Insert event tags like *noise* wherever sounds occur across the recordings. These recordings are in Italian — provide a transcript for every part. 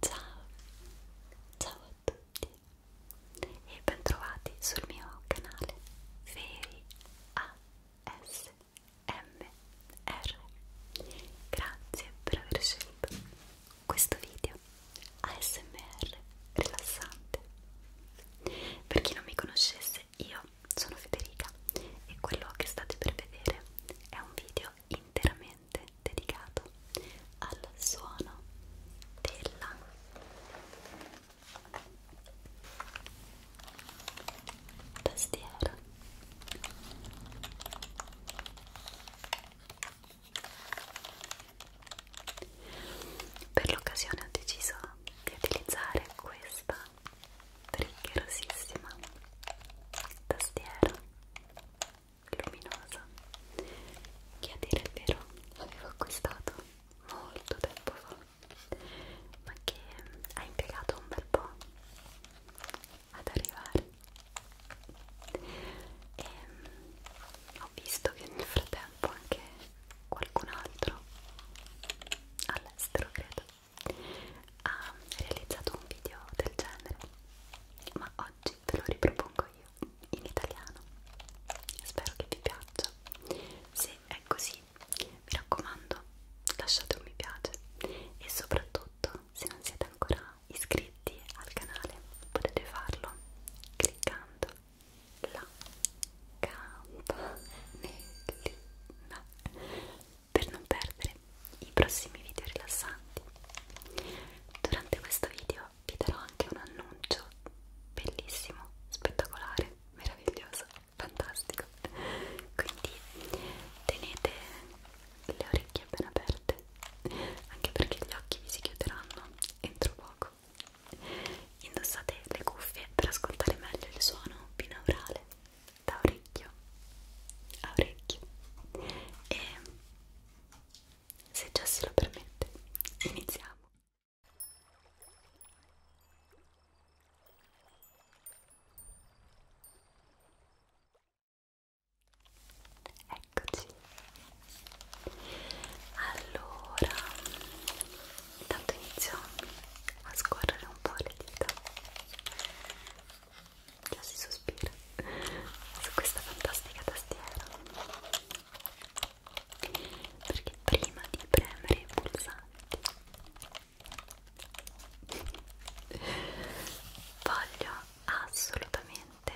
Ciao, ciao a tutti e bentrovati sul mio canale Feri ASMR. Grazie per aver scelto questo video ASMR rilassante. Per chi non mi conoscesse, io sono Federica e quello che state per vedere è un video video interamente dedicato al suono della tastiera per l'occasione ho deciso di utilizzare questa rigorosissima tastiera luminosa che a dire il vero avevo acquistato molto tempo fa ma che ha impiegato un bel po' ad arrivare e ehm, ho visto che nel frattempo anche qualcun altro all'estero credo ha realizzato un video del genere, ma oggi te lo ripropongo io in italiano. Spero che vi piaccia. Se è così, mi raccomando, lasciate un mi piace e soprattutto se non siete ancora iscritti al canale potete farlo cliccando la campanellina per non perdere i prossimi video rilassanti. Durante questo video vi darò anche un annuncio bellissimo, spettacolare, meraviglioso, fantastico. Quindi tenete le orecchie appena aperte, anche perché gli occhi vi si chiuderanno entro poco. Indossate le cuffie per ascoltare meglio il suono binaurale da orecchio a orecchio e se Jessy lo permette iniziamo Eccoci. Allora, intanto inizio a scorrere un po' le dita già si sospira su questa fantastica tastiera perché prima di premere i pulsanti voglio assolutamente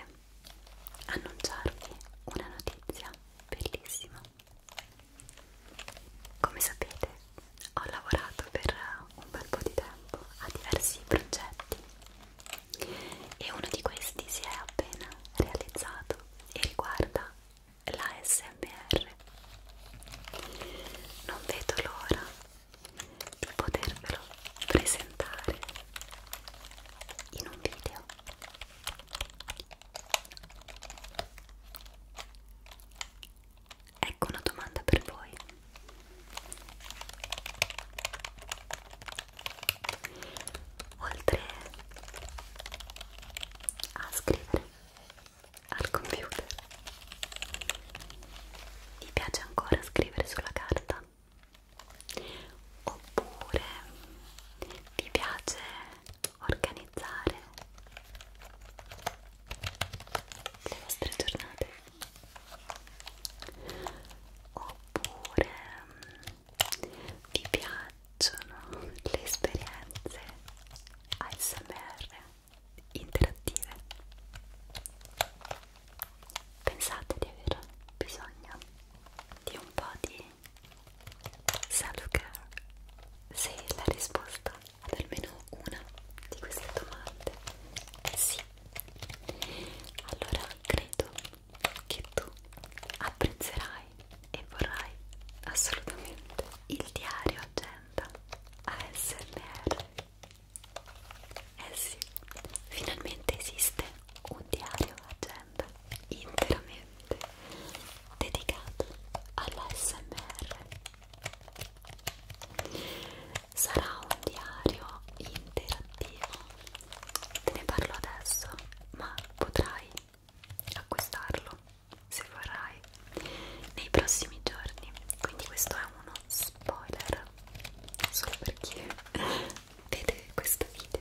annunciarvi una notizia bellissima come sapete, ho lavorato per un bel po' di tempo a diversi progetti e uno di questi si è appena realizzato e riguarda la SMR. Non vedo l'ora di potervelo presentare in un video. Ecco una domanda per voi. Oltre a scrivere al computer, vi piace ancora scrivere sulla carta? Oppure vi piace organizzare le vostre giornate oppure mm, vi piacciono le esperienze ASMR interattive pensate di aver bisogno di un po' di self care se la risposta ad almeno una di queste domande sì allora credo che tu apprezzerai e vorrai assolutamente il diario agenda ASMR eh sì finalmente esiste un diario agenda interamente completamente dedicato all'ASMR. Sarà un diario interattivo, te ne parlo adesso, ma potrai acquistarlo se vorrai nei prossimi giorni. Quindi questo è uno spoiler solo per chi *laughs* vede questo video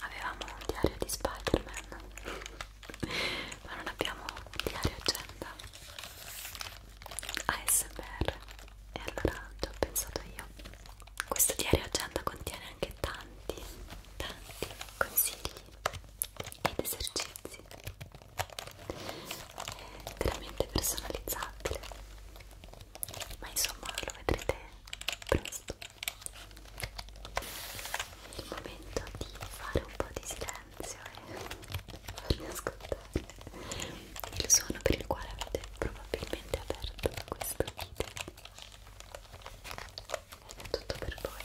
avevamo un diario di Spider-Man *laughs* ma non abbiamo un diario agenda ASMR e allora ci ho pensato io questo diario agenda contiene anche tanti tanti consigli ed esercizi è veramente personalizzabile ma insomma lo vedrete presto è il momento di fare un po' di silenzio e farmi ascoltare il suono per il quale avete probabilmente aperto questo video ed è tutto per voi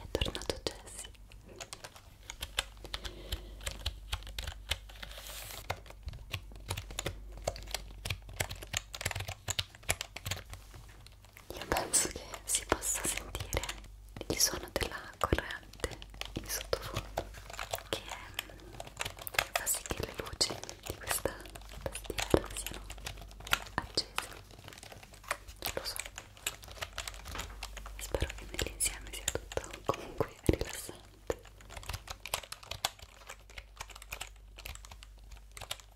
È tornato Jessie. Io penso che si possa sentire il suono della corrente in sottofondo che mm, fa sì che le luci di questa tastiera siano accese. Non lo so. Spero che nell'insieme sia tutto comunque rilassante.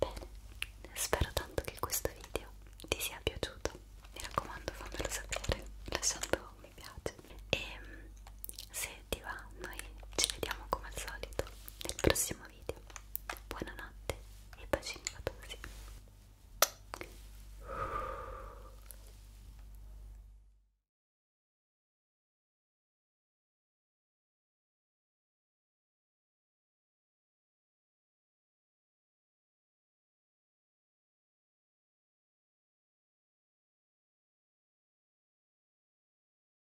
Bene, spero tanto che questo video ti sia piaciuto. Mi raccomando, fammelo sapere lasciando un mi piace. E ehm, se ti va, noi ci vediamo come al solito nel prossimo video. Buonanotte e bacini fatosi.